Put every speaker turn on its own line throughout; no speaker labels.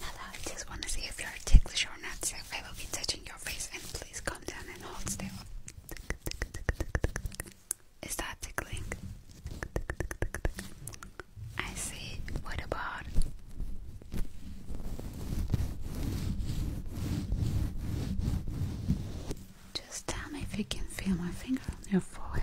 Hello, I just want to see if you're ticklish or not, so I will be touching your face and please calm down and hold still. Is that tickling? I see. What about?
Just tell me if you can feel my finger on your forehead.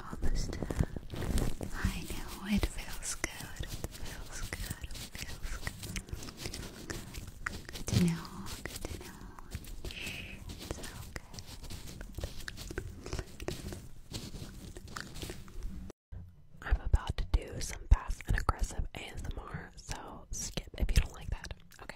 almost I
know it feels good. feels good. feels good. Good to know. Good to know.
It's okay. I'm about to do some fast and aggressive ASMR, so skip if you don't like that. Okay.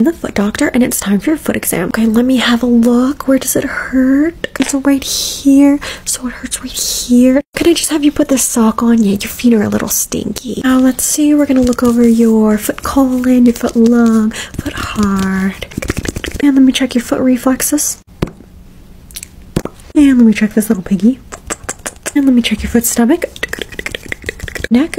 the foot doctor and it's time for your foot exam. Okay, let me have a look. Where does it hurt? It's right here. So it hurts right here. Can I just have you put this sock on? Yeah, your feet are a little stinky. Now let's see. We're gonna look over your foot colon, your foot lung, foot heart. And let me check your foot reflexes. And let me check this little piggy. And let me check your foot stomach. Neck.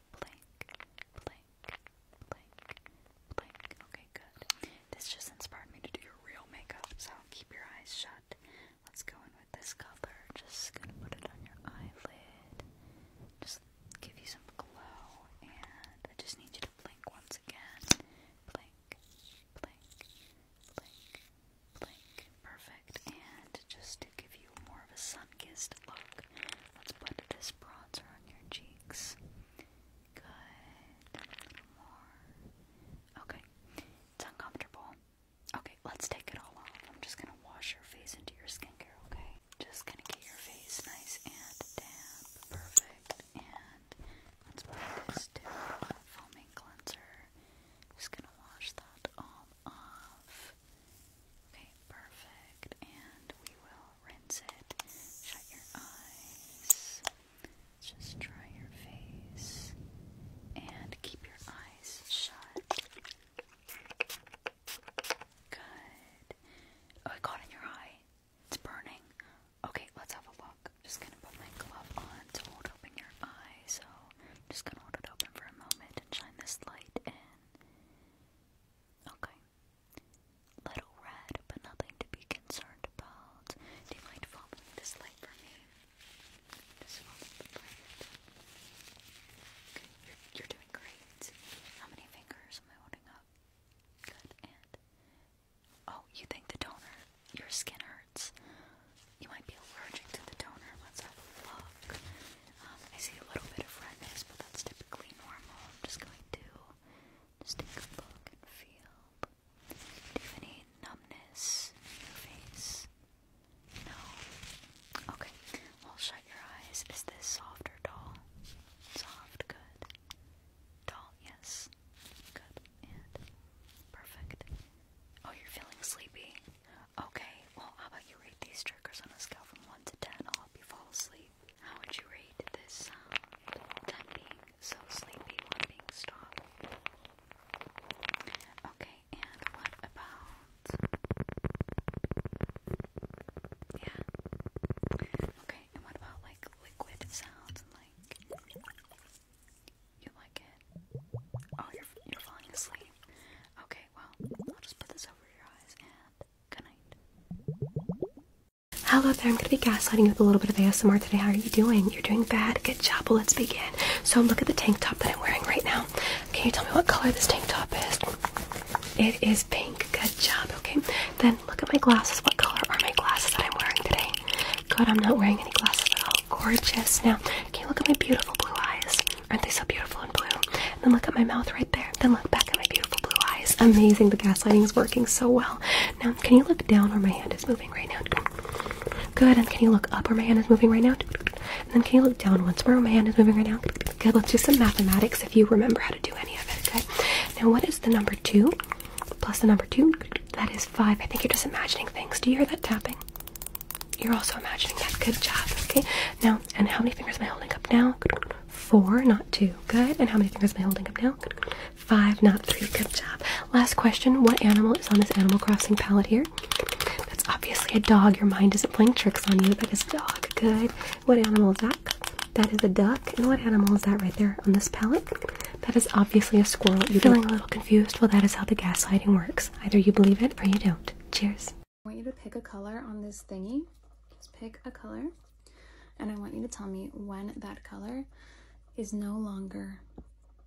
blink, blink, blink, blink. Okay, good. This just inspired me to do your real makeup, so keep your eyes shut. Let's go in with this color. Just gonna put it on your eyelid. Just give you some glow, and I just need you to blink once again. Blink, blink, blink, blink, perfect. And just to give you more of a sun-kissed look, let's put this bronzer on your cheeks. Good. more. Okay. It's uncomfortable. Okay, let's take it all off. I'm just gonna wash your face into your skincare, okay? Just gonna get your face nice and damp. Perfect. And let's put this to foaming cleanser. Just gonna wash that all off. Okay, perfect. And we will rinse it. Shut your eyes. Just dry your face. And keep your eyes shut. Good. Oh, I caught in your eye. It's burning. Okay, let's have a look. I'm just gonna put my glove on to hold open your eye. So I'm just gonna hold it open for a moment light shine this light in. Okay. Little red, but nothing to be concerned about. Do you mind following this light for me? Just follow the light. Okay, you're, you're doing great. How many fingers am I holding up? Good, and... Oh, you think the toner, your skin hurts? you might be allergic to the toner. Let's have a I see a little bit of redness, but that's typically normal. just going to just a look and feel. Do you have any numbness in your face? No? Okay. Well, shut your eyes. Is this soft or dull? Soft, good. Dull, yes. Good. And perfect. Oh, you're feeling sleepy. Okay, well, how about you rate these triggers on a scale from 1 to 10? I'll help you fall asleep. How would you rate this um, 10 being so sleepy, 1 being stop. Okay, and what about. Yeah. Okay, and what about like liquid sounds like. You like it? Oh, you're, you're falling asleep.
Hello there, I'm gonna be gaslighting with a little bit of ASMR today. How are you doing? You're doing bad. Good job. Well, let's begin. So, look at the tank top that I'm wearing right now. Can you tell me what color this tank top is? It is pink. Good job. Okay, then look at my glasses. What color are my glasses that I'm wearing today? Good, I'm not wearing any glasses at all. Gorgeous. Now, can you look at my beautiful blue eyes? Aren't they so beautiful in blue? And then look at my mouth right there. Then look back at my beautiful blue eyes. Amazing. The gaslighting is working so well. Now, can you look down where my hand is moving right now? Good. And can you look up where my hand is moving right now? And then can you look down once more where my hand is moving right now? Good. Let's do some mathematics if you remember how to do any of it, okay? Now, what is the number two plus the number two? That is five. I think you're just imagining things. Do you hear that tapping? You're also imagining that. Good job. Okay. Now, and how many fingers am I holding up now? Four, not two. Good. And how many fingers am I holding up now? Five, not three. Good job. Last question. What animal is on this Animal Crossing palette here? That's obviously a dog. Your mind isn't playing tricks on you. That is a dog. Good. What animal is that? That is a duck. And what animal is that right there on this palette? That is obviously a squirrel. You're feeling a little confused? Well, that is how the gaslighting works. Either you believe it or you don't. Cheers. I want you to pick a color on this thingy. Just pick a color. And I want you to tell me when that color is no longer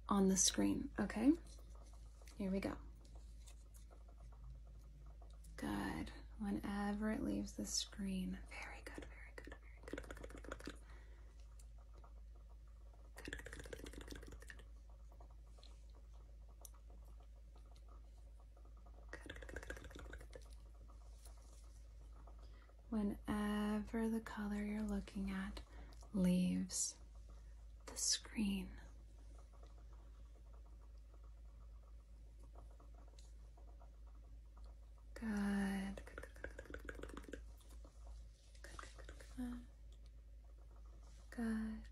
on the screen, okay? Here we go. Good. Whenever it leaves the screen. Very good, very good, very good, Whenever the color you're looking at leaves the screen, good.
Good.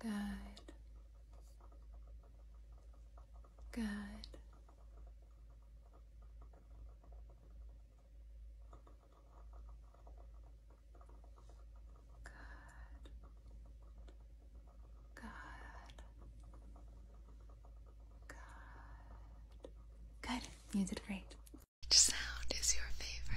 Good. Good. Good.
Good. Good. You did great. Which sound is your favorite?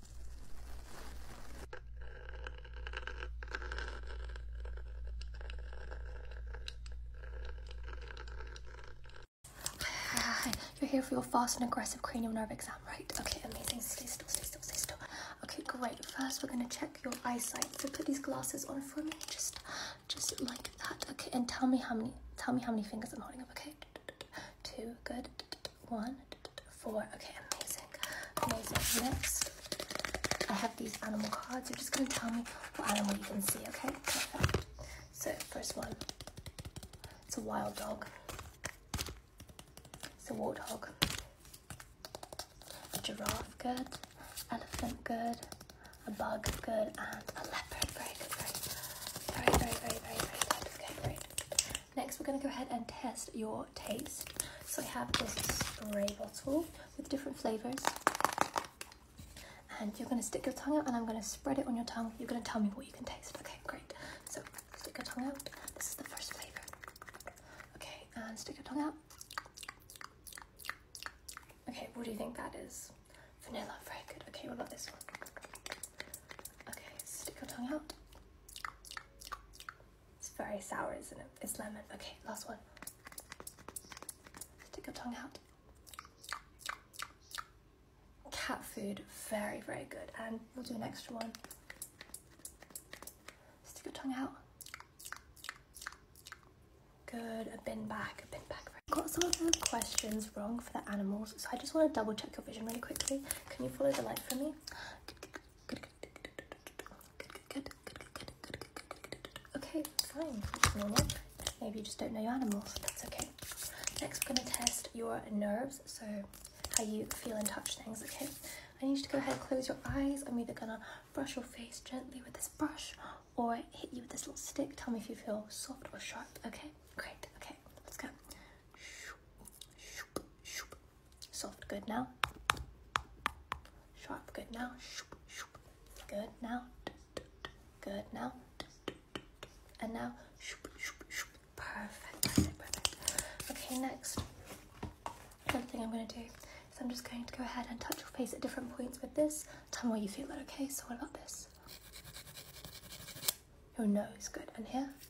Hi, hi, hi, You're here for your fast and aggressive cranial nerve exam, right? Okay, amazing. Stay still, stay still, stay still. Okay, great. First, we're gonna check your eyesight. So put these glasses on for me, just, just like that. Okay, and tell me how many, tell me how many fingers I'm holding up. Okay, two, good one, four. Okay, amazing. Amazing. Next, I have these animal cards. You're just going to tell me what animal you can see, okay? Perfect. So, first one. It's a wild dog. It's a warthog. A giraffe, good. Elephant, good. A bug, good. And a leopard, very good, very Very, very, very, very, good. Okay, great. Next, we're going to go ahead and test your taste. So I have this spray bottle with different flavors. And you're going to stick your tongue out and I'm going to spread it on your tongue. You're going to tell me what you can taste. Okay, great. So stick your tongue out. This is the first flavor. Okay, and stick your tongue out. Okay, what do you think that is? Vanilla, very good. Okay, what about this one? Okay, stick your tongue out. It's very sour, isn't it? It's lemon. Okay, last one. Stick your tongue out. Cat food, very, very good. And we'll do an extra one. Stick your tongue out. Good, a bin back, a bin back. Got some of the questions wrong for the animals, so I just want to double check your vision really quickly. Can you follow the light for me? okay? fine. Maybe you just don't know your animals. That's okay. Next, we're going to test your nerves, so how you feel and touch things, okay? I need you to go ahead and close your eyes. I'm either going to brush your face gently with this brush or hit you with this little stick. Tell me if you feel soft or sharp, okay? Great, okay, let's go. Soft good now. Sharp good now. Good now. Good now. And now. Perfect. Perfect. Perfect. Okay, next. Another thing I'm going to do is I'm just going to go ahead and touch your face at different points with this. Tell me where you feel it, okay? So what about this? Your nose, good. And here?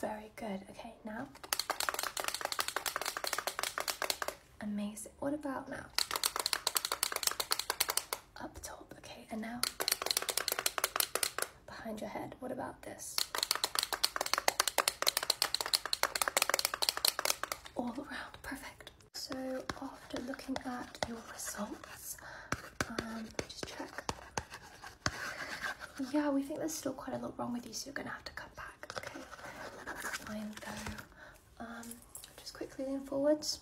Very good. Okay, now. Amazing. What about now? Up top. Okay, and now behind your head. What about this? All around. Perfect. So after looking at your results, um, just check. Yeah, we think there's still quite a lot wrong with you, so you're gonna have to come back. Okay, fine though. Um, just quickly lean forwards.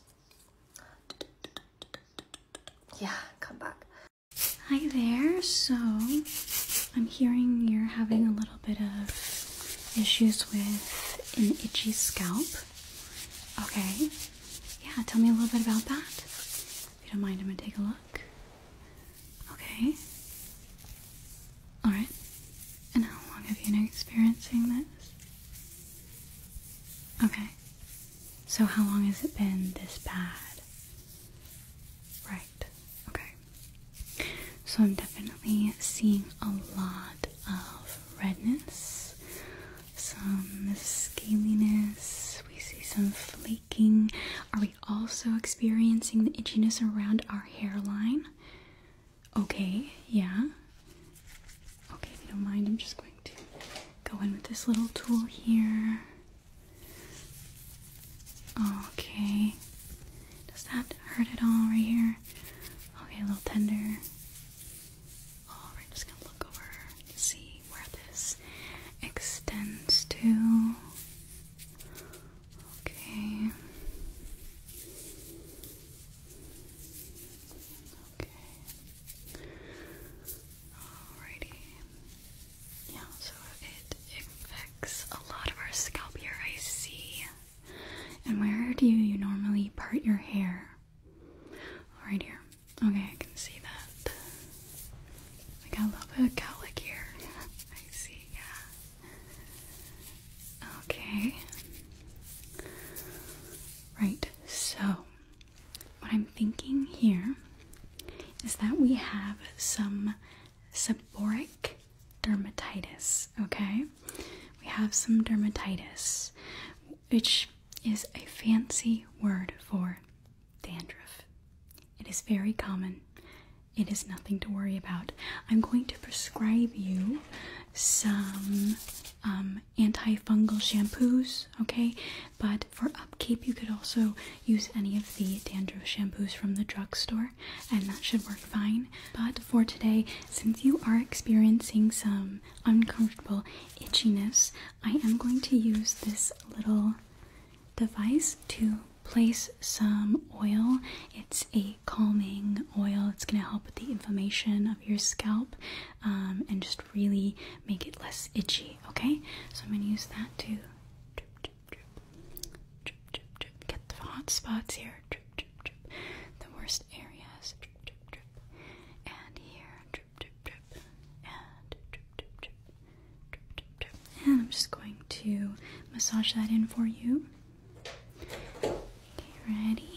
Yeah, come back.
Hi there. So I'm hearing you're having a little bit of issues with an itchy scalp. Okay. Yeah, tell me a little bit about that. If you don't mind, I'm gonna take a look. Okay. Alright. And how long have you been experiencing this? Okay. So, how long has it been this bad? Right. Okay. So, I'm definitely seeing a lot of redness, some scaliness, we see some flaking. Are we also experiencing the itchiness around our hairline? Okay, yeah. Okay, if you don't mind, I'm just going to go in with this little tool here. Okay. Does that hurt at all right here? Okay, a little tender. Alright, just gonna look over see where this extends to. Okay. Okay. Alrighty. Yeah, so it affects a lot of our scalp here, I see. And where do you normally part your hair? Right here. Okay, I can see that. We got a little bit of cowlick here. I see, yeah. Okay. Right, so what I'm thinking here is that we have some seborrheic dermatitis, okay? we have some dermatitis, which is a fancy word for dandruff. It is very common. It is nothing to worry about. I'm going to prescribe you some um, antifungal shampoos, okay? But for upkeep, you could also use any of the dandruff shampoos from the drugstore, and that should work fine. But for today, since you are experiencing some uncomfortable itchiness, I am going to use this little device to place some oil. It's a calming oil, it's going to help with the inflammation of your scalp um, and just really make it less itchy, okay? So I'm going to use that to get the hot spots here, the worst areas and here, and I'm just going to massage that in for you. ready?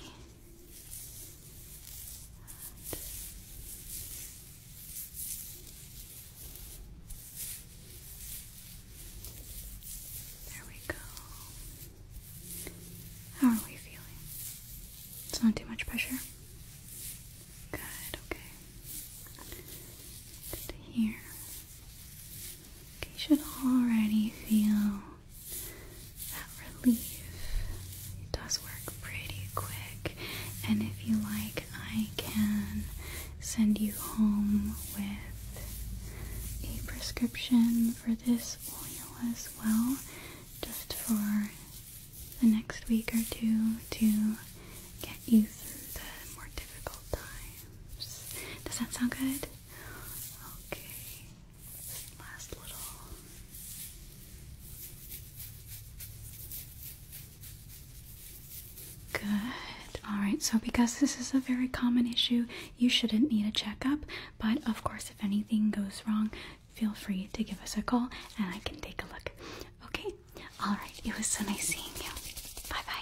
There we go. How are we feeling?
It's not too much pressure? Good, okay. Good you should already feel that relief. It does work pretty quick, and if you like, I can send you home with a prescription for this oil as well, just for the next week or two to get you through the more difficult times. Does that sound good? Okay, last little. Good. Alright, so because this is a very common issue, you shouldn't need a checkup, but of course, if anything goes wrong, feel free to give us a call and I can take a look. Okay? Alright, it was so nice seeing you. Bye bye.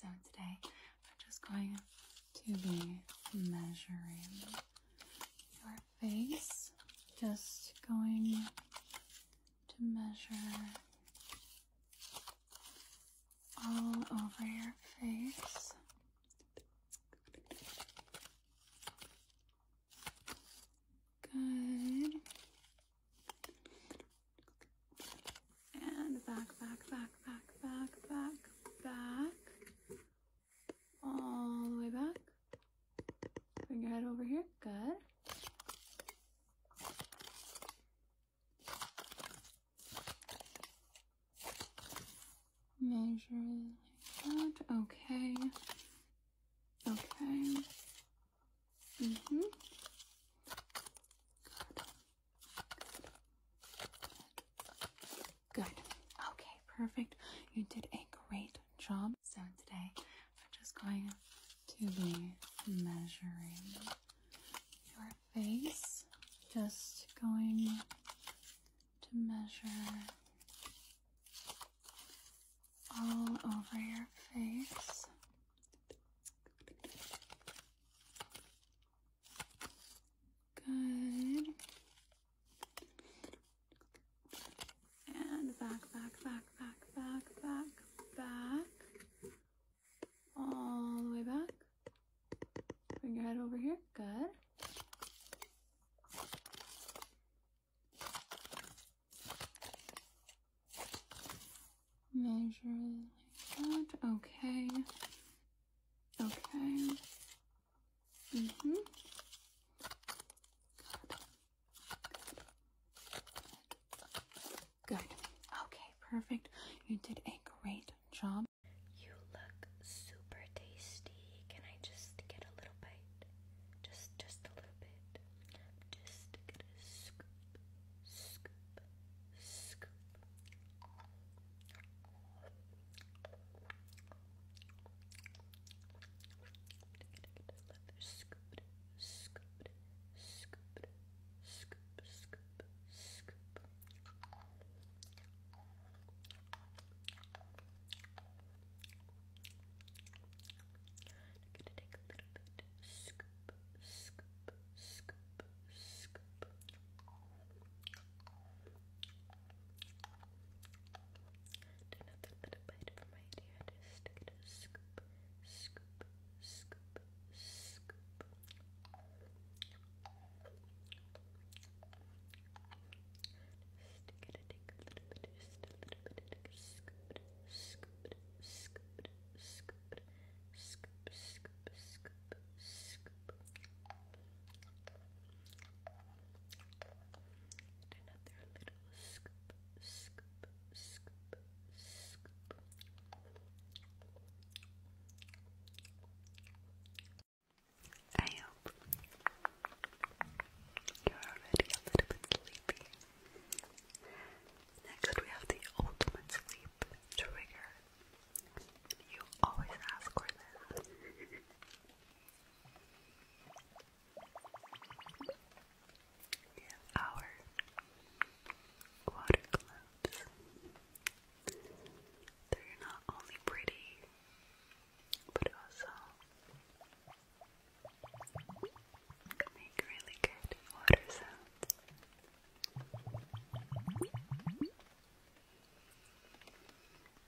So today I'm just going to be measuring your face. Just going to measure all over your face.
Good. And back, back, back, back, back, back, back. All the way back.
Bring your head over here. Good.
Measure like that. Okay. Okay. hmm Good. Okay, perfect. You did a great job. So today I'm just going to be measuring your face. Just going to measure all over your face.
Good. And back, back, back, back, back, back, back. All the way back. Bring your head over here. Good.
Measure that. Okay. Okay. hmm
Good. Okay, perfect. You did a great job. You look super tasty. Can I just get a
little bite? Just just a little bit. Just scoop, scoop, scoop. Scoop it, scoop it, scoop it, scoop, scoop, scoop. I'm gonna take a little bit, scoop, scoop, scoop, scoop. Do nothing but bite from my idea. scoop, scoop, scoop, scoop. Just it a little bit, just a little bit, scoop, scoop, scoop, scoop, scoop, scoop, scoop, scoop. Do another little scoop, scoop, scoop,
I hope you're already a little bit sleepy. Next, we have the ultimate sleep trigger. You always ask for this. our water gloves. They're not only pretty, but also make really good water sounds.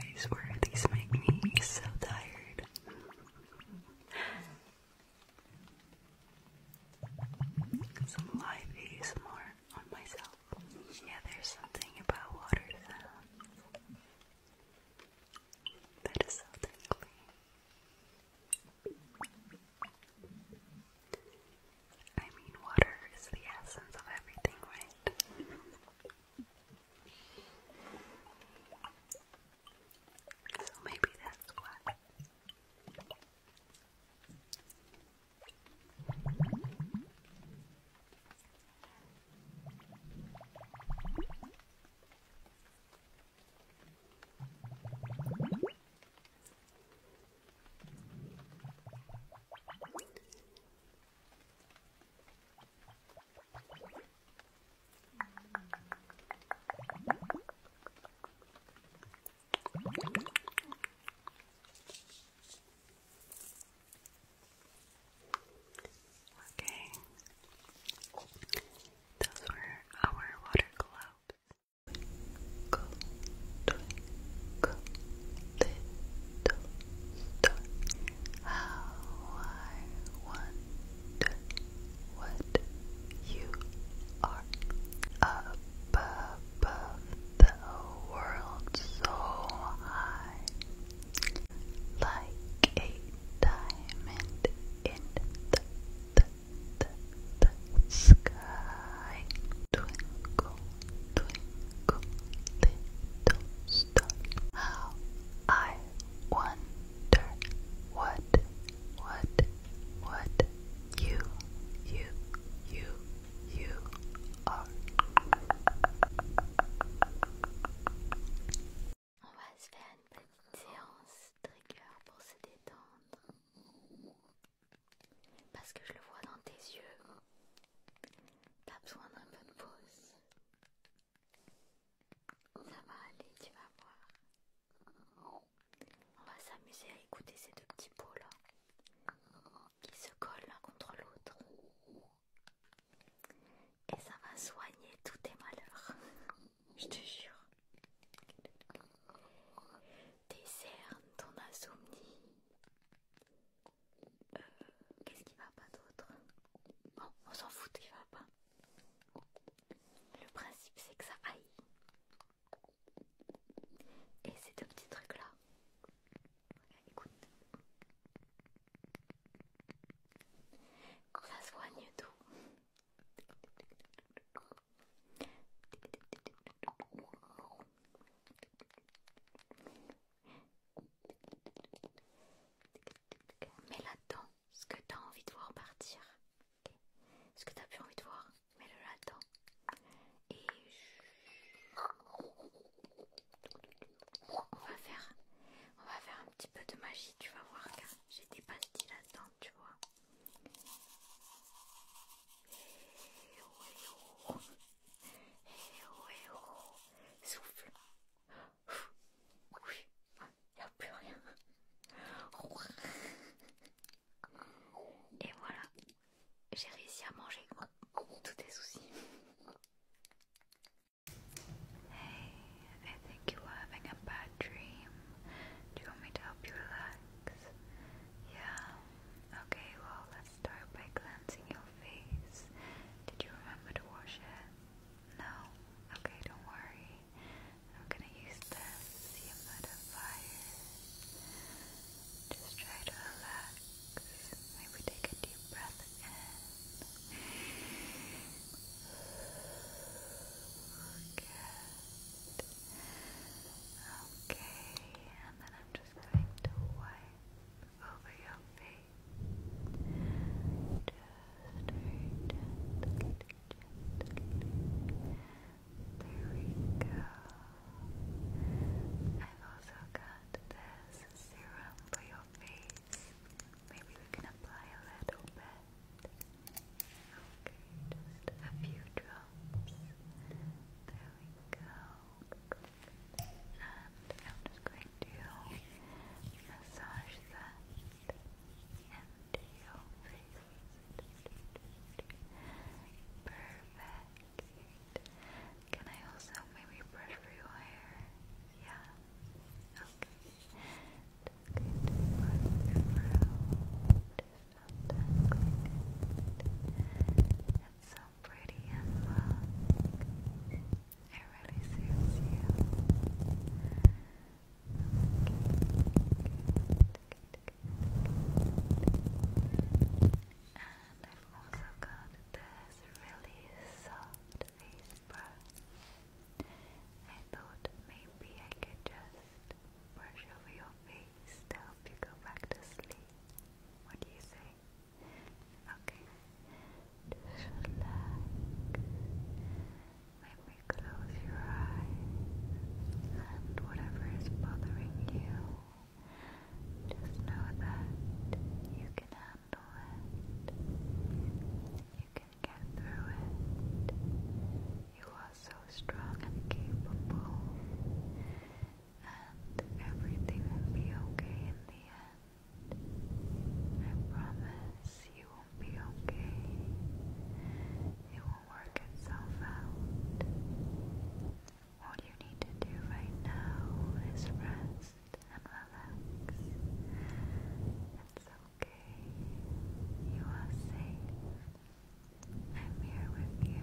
I swear these make me so tired.
Some live ASMR on myself. Yeah, there's something about water that is so tingly. I mean, water is the essence of everything, right? So maybe that's why. Okay, those were our water globes. Go, go, go, little star, how I wonder what you are up above the world so high, like a diamond in the sky, twinkle. how I wonder what, are. On va se faire une petite séance trigger pour se détendre. Parce que je le vois dans tes yeux, T'as besoin d'un peu de pause. Ça va aller, tu vas voir. On va s'amuser à écouter ces deux petits pots là qui se collent l'un contre l'autre. Et ça va soigner tous tes malheurs. Je te jure. Tes ton insomnie, euh, qu'est-ce qui va pas d'autre Bon, on s'en fout qu'il va pas. Le principe c'est que ça aille. Et ces deux petits trucs là. Écoute. Ça soigne tout. Mets là-dedans ce que tu as envie de voir partir. Ce que tu as plus envie de voir, mets-le là-dedans. Et on va faire, un petit peu de magie, tu vas voir car j'ai des pastilles là-dedans, tu vois. Oh. Eh oh, oh, souffle. Oui, il n'y a plus rien. Et voilà, j'ai réussi à manger tous tes soucis. Hey, I think you are having a bad dream. Do you want me to help you relax? Yeah. Okay, well, let's Start by cleansing your face. Did you remember to wash it? No? Okay, don't worry. I'm gonna use this humidifier. Just try to relax. Maybe take a deep breath in. Okay, and then I'm just going to wipe over your face. There we go. I've also got this serum for your face. Maybe we can apply a little bit. Okay, just a few drops. There we go. And I'm just going to massage that into face. Perfect. Can I also maybe brush your hair? Yeah. Okay. Just going so pretty and long. It really suits you. And I've also got this really soft face brush. I thought maybe I could just brush over your face to help you go back to sleep. What do you say? Okay. Just relax. Maybe close your eyes and whatever is bothering you, just know that you can handle it. You can get through it. You are so strong and capable and everything will be okay in the end. I promise you will be okay. It will work itself out. All you need to do right now is rest and relax. It's okay. You are safe. I'm here with you.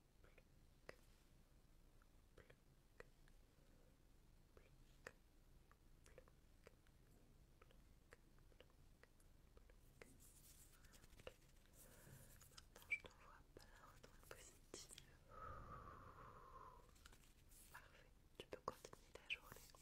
pluck, pluck, Maintenant, je t'envoie Parfait, tu peux continuer ta journée.